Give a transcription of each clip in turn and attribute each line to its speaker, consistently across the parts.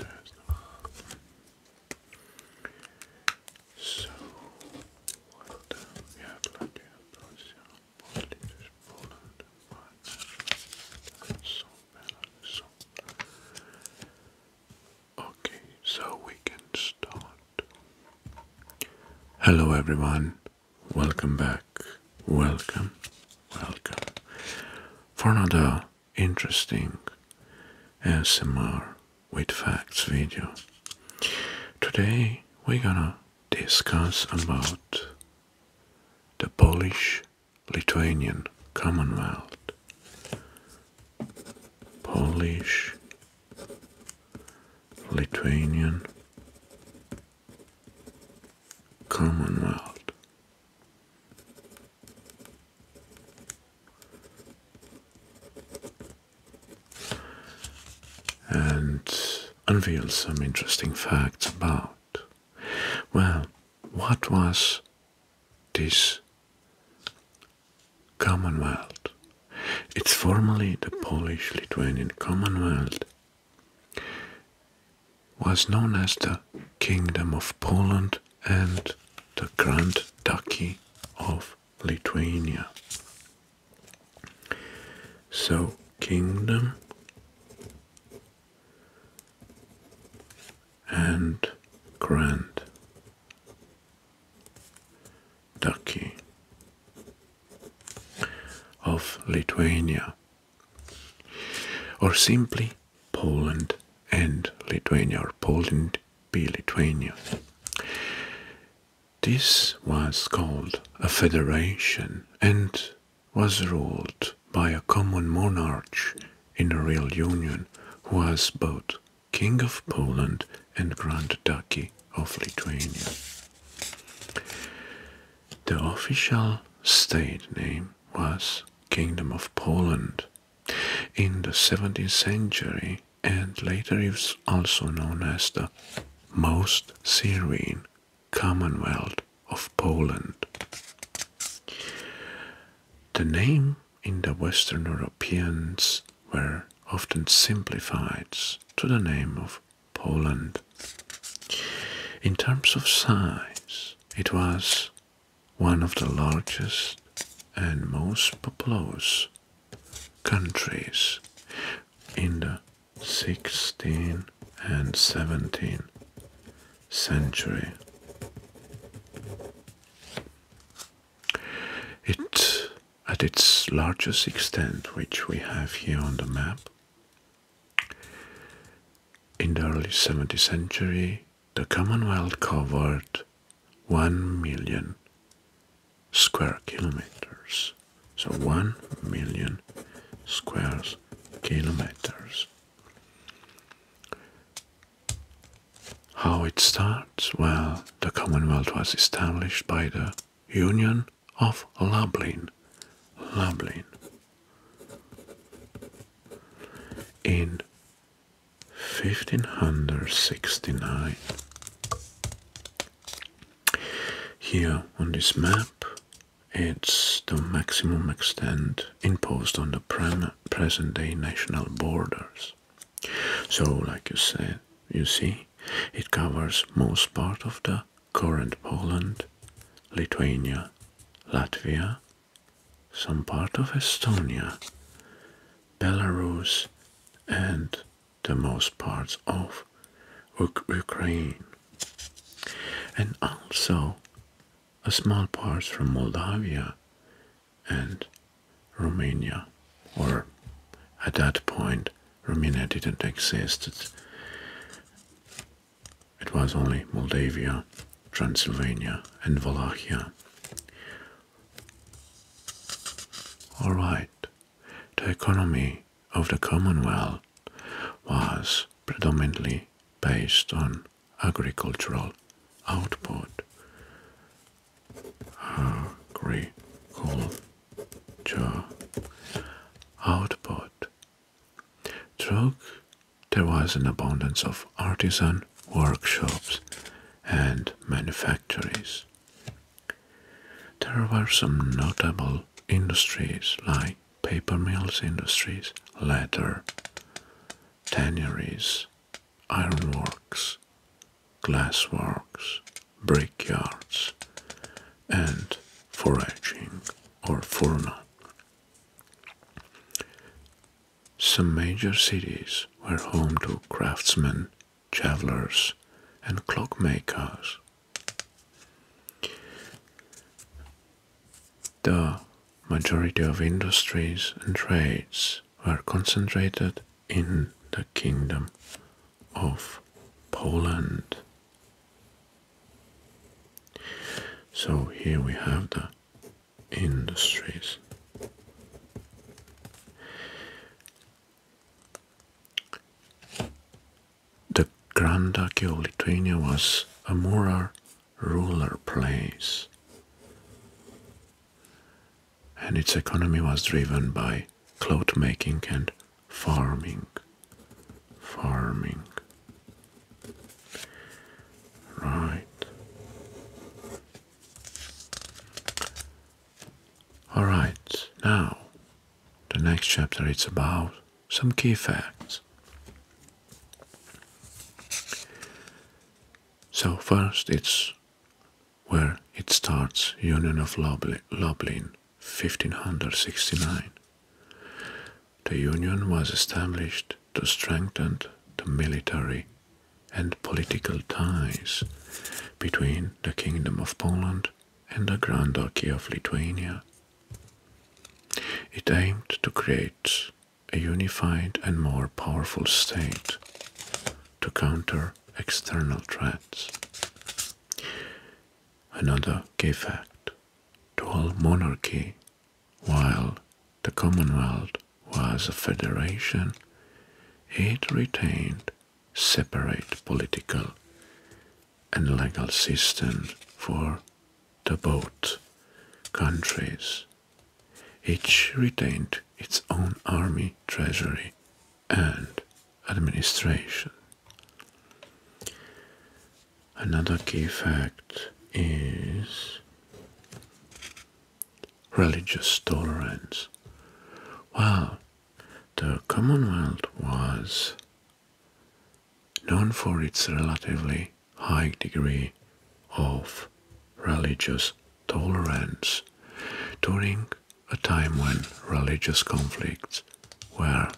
Speaker 1: So what do we have like a Polish, Poland, Finland, so Belarus. Okay, so we can start. Hello everyone, welcome back, welcome, welcome for another interesting S.M.R. with facts video. Today we're gonna discuss about the Polish-Lithuanian Commonwealth. Polish Lithuanian Commonwealth and unveil some interesting facts about, well, what was this Commonwealth? It's formerly the Polish Lithuanian Commonwealth was known as the Kingdom of Poland and the Grand Duchy of Lithuania. So, kingdom and grand duchy of Lithuania or simply Poland and Lithuania, or Poland be Lithuania. This was called a federation and was ruled by a common monarch in a real union who was both King of Poland and Grand Duchy of Lithuania. The official state name was Kingdom of Poland in the 17th century and later it was also known as the most Serene Commonwealth of Poland. The name in the Western Europeans were often simplified to the name of Poland. In terms of size, it was one of the largest and most populous countries in the 16th and 17th century. It, at its largest extent, which we have here on the map, in the early 17th century, the Commonwealth covered 1 million square kilometers. So 1 million squares kilometers. How it starts? Well, the Commonwealth was established by the Union of Lablin, Lublin. In 1569, here on this map, it's the maximum extent imposed on the present day national borders. So, like you said, you see, it covers most part of the current Poland, Lithuania, Latvia, some part of Estonia, Belarus, and the most parts of Ukraine, and also a small part from Moldavia and Romania, or at that point Romania didn't exist. It was only Moldavia, Transylvania, and Wallachia. All right, the economy of the Commonwealth was predominantly based on agricultural output. Agriculture output there was an abundance of artisan workshops and manufactories. There were some notable industries like paper mills industries, leather, tanneries, ironworks, glassworks, brickyards, and foraging or fauna some major cities were home to craftsmen, jewelers, and clockmakers. The majority of industries and trades were concentrated in the Kingdom of Poland. So here we have the industries. The Grand Duchy of Lithuania was a more ruler place, and its economy was driven by cloth making and farming farming. Right. All right, now the next chapter is about some key facts. So first it's where it starts Union of Lublin 1569. The union was established to strengthen the military and political ties between the Kingdom of Poland and the Grand Duchy of Lithuania. It aimed to create a unified and more powerful state to counter external threats. Another key fact to a monarchy, while the Commonwealth was a federation, it retained separate political and legal system for the both countries. Each retained its own army, treasury, and administration. Another key fact is religious tolerance. Well, the Commonwealth was known for its relatively high degree of religious tolerance during a time when religious conflicts were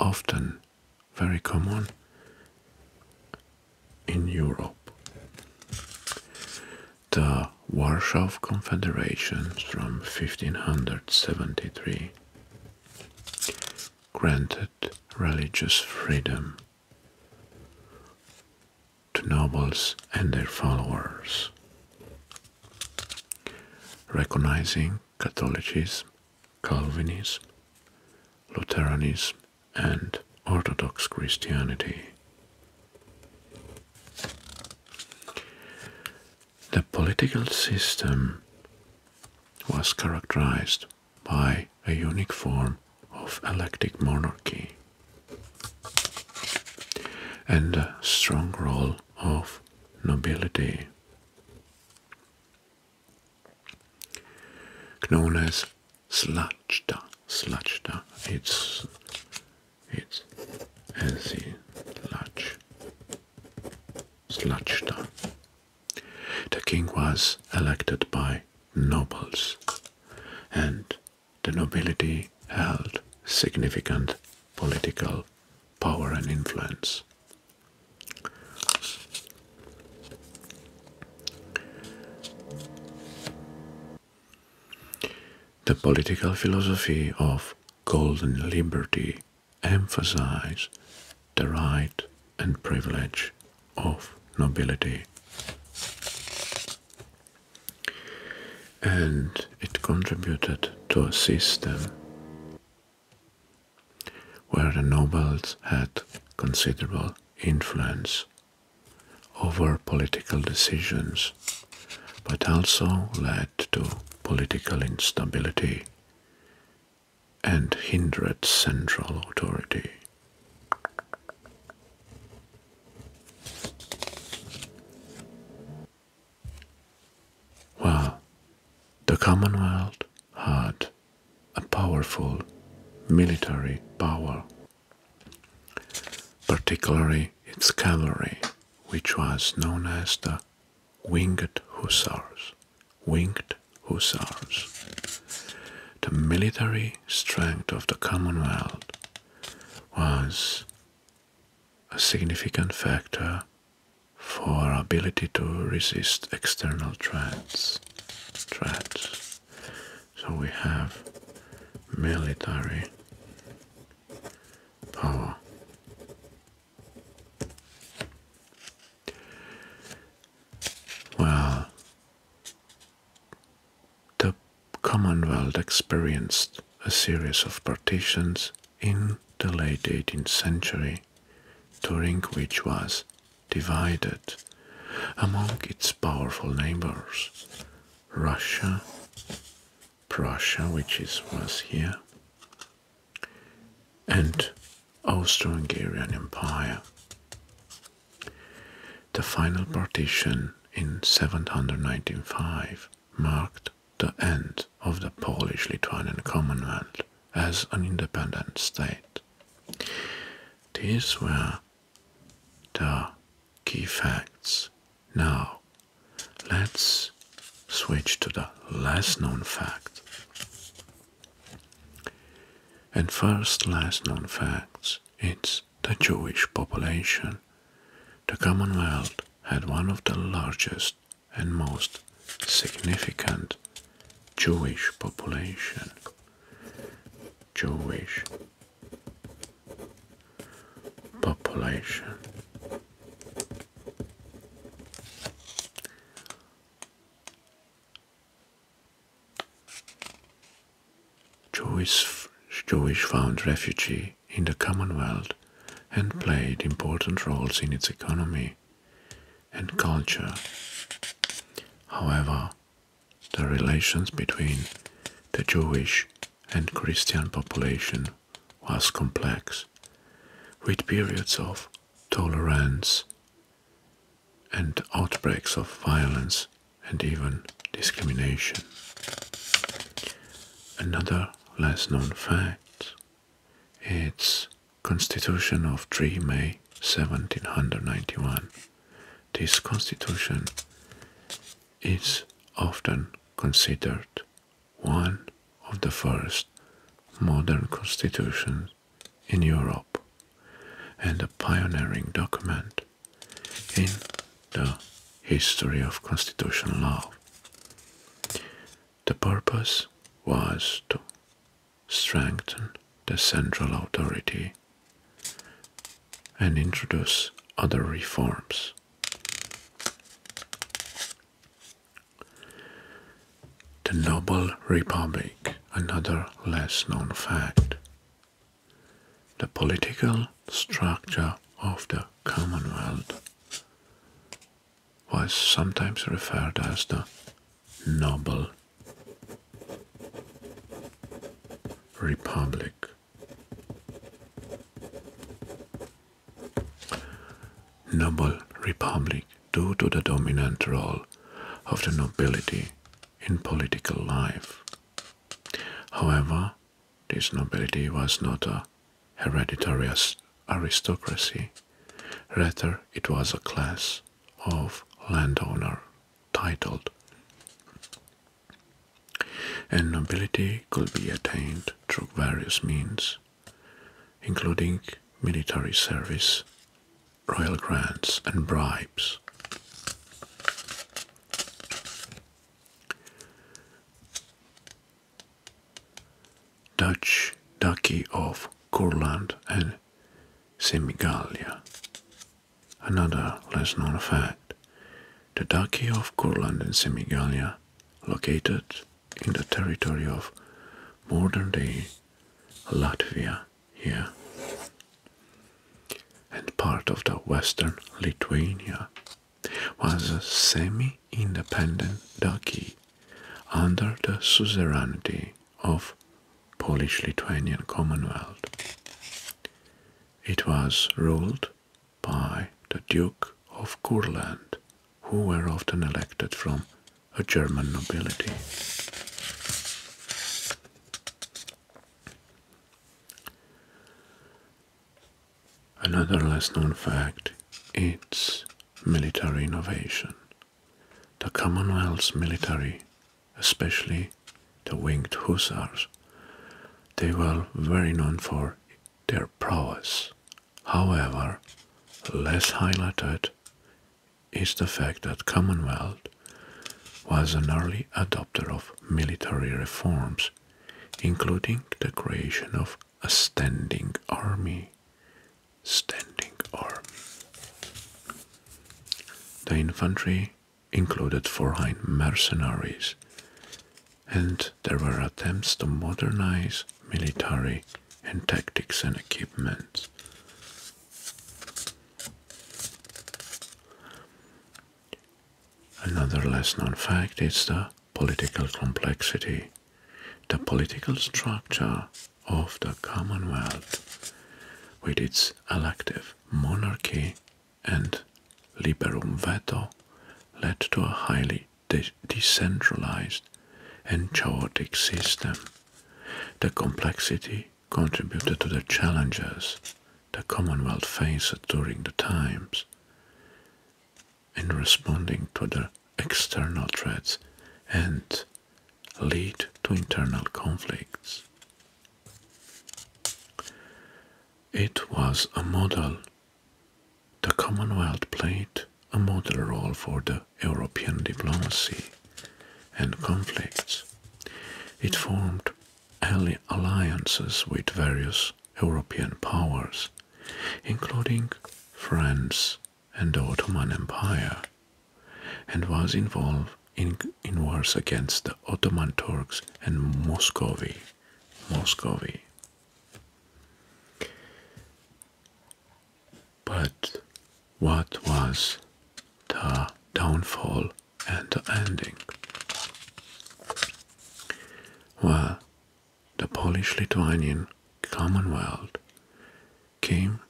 Speaker 1: often very common in Europe. The Warsaw Confederation from 1573 granted religious freedom to nobles and their followers, recognizing Catholicism, Calvinism, Lutheranism, and Orthodox Christianity. The political system was characterized by a unique form of elective monarchy and a strong role of nobility known as slajda. Slajda. It's it's healthy sludge. Slajda. The king was elected by nobles, and the nobility held significant political power and influence. The political philosophy of golden liberty emphasized the right and privilege of nobility. And it contributed to a system where the nobles had considerable influence over political decisions, but also led to political instability and hindered central authority. Well, the Commonwealth had a powerful military power, particularly its cavalry, which was known as the Winged Hussars. Winged Hussars. The military strength of the Commonwealth was a significant factor for our ability to resist external threats. threats. So we have military power. Well, the Commonwealth experienced a series of partitions in the late 18th century, during which was divided among its powerful neighbors Russia, Prussia, which is, was here, and Austro-Hungarian Empire. The final partition in 795 marked the end of the Polish-Lithuanian Commonwealth as an independent state. These were the key facts. Now, let's switch to the less known fact. And first less known facts, it's the Jewish population. The Commonwealth had one of the largest and most significant Jewish population. Jewish population. Jewish, Jewish found refugee in the Commonwealth and hmm. played important roles in its economy and hmm. culture. However, the relations between the Jewish and Christian population was complex, with periods of tolerance and outbreaks of violence and even discrimination. Another less known fact, its Constitution of 3 May 1791. This Constitution is often considered one of the first modern constitutions in Europe and a pioneering document in the history of constitutional law. The purpose was to strengthen the central authority and introduce other reforms. The Noble Republic, another less known fact. The political structure of the Commonwealth was sometimes referred as the Noble Republic. Noble Republic, due to the dominant role of the nobility in political life. However, this nobility was not a hereditary aristocracy, rather, it was a class of landowner titled. And nobility could be attained through various means, including military service, royal grants, and bribes. Dutch duchy of Courland and Semigalia. Another less known fact the duchy of Courland and Semigalia, located in the territory of modern day Latvia here and part of the western Lithuania, was a semi-independent duchy under the suzerainty of Polish-Lithuanian Commonwealth. It was ruled by the Duke of Courland, who were often elected from a German nobility. Another less known fact is military innovation. The Commonwealth's military, especially the winged hussars, they were very known for their prowess. However, less highlighted is the fact that Commonwealth was an early adopter of military reforms including the creation of a standing army. Standing army. The infantry included foreign mercenaries, and there were attempts to modernize military and tactics and equipment. Another less known fact is the political complexity. The political structure of the Commonwealth, with its elective monarchy and liberum veto, led to a highly decentralized and chaotic system. The complexity contributed to the challenges the Commonwealth faced during the times. In responding to the external threats and lead to internal conflicts. It was a model. The Commonwealth played a model role for the European diplomacy and conflicts. It formed Early alliances with various European powers, including France and the Ottoman Empire, and was involved in, wars against the Ottoman Turks and Muscovy. Muscovy. But what was the downfall and the ending. Well, the Polish Lithuanian Commonwealth came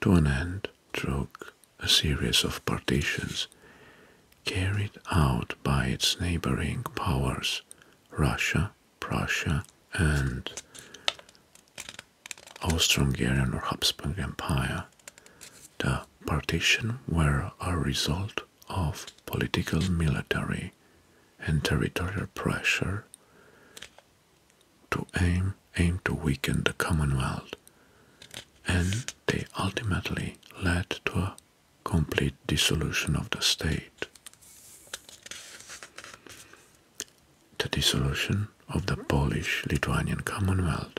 Speaker 1: to an end through a series of partitions carried out by its neighboring powers Russia, Prussia, and Austro-Hungarian or Habsburg Empire. The partition were a result of political, military, and territorial pressure to aim aim to weaken the Commonwealth, and they ultimately led to a complete dissolution of the state. The dissolution of the Polish Lithuanian Commonwealth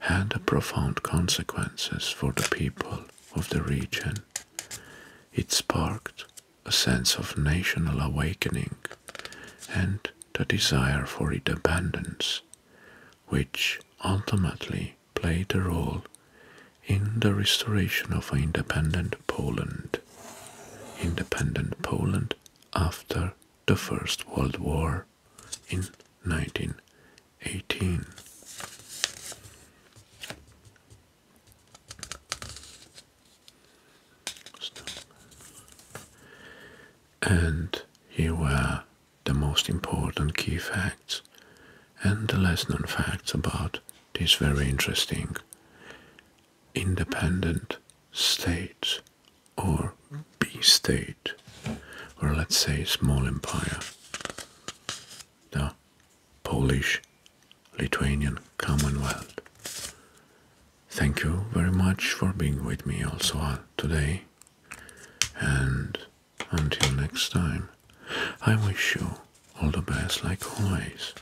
Speaker 1: had profound consequences for the people of the region. It sparked a sense of national awakening and the desire for independence, which ultimately played a role in the restoration of independent Poland. Independent Poland after the First World War in 1918. And here were the most important key facts and the less known facts about this very interesting independent state or B state or let's say small empire, the Polish Lithuanian Commonwealth. Thank you very much for being with me also uh, today, and until next time, I wish you all the best like always.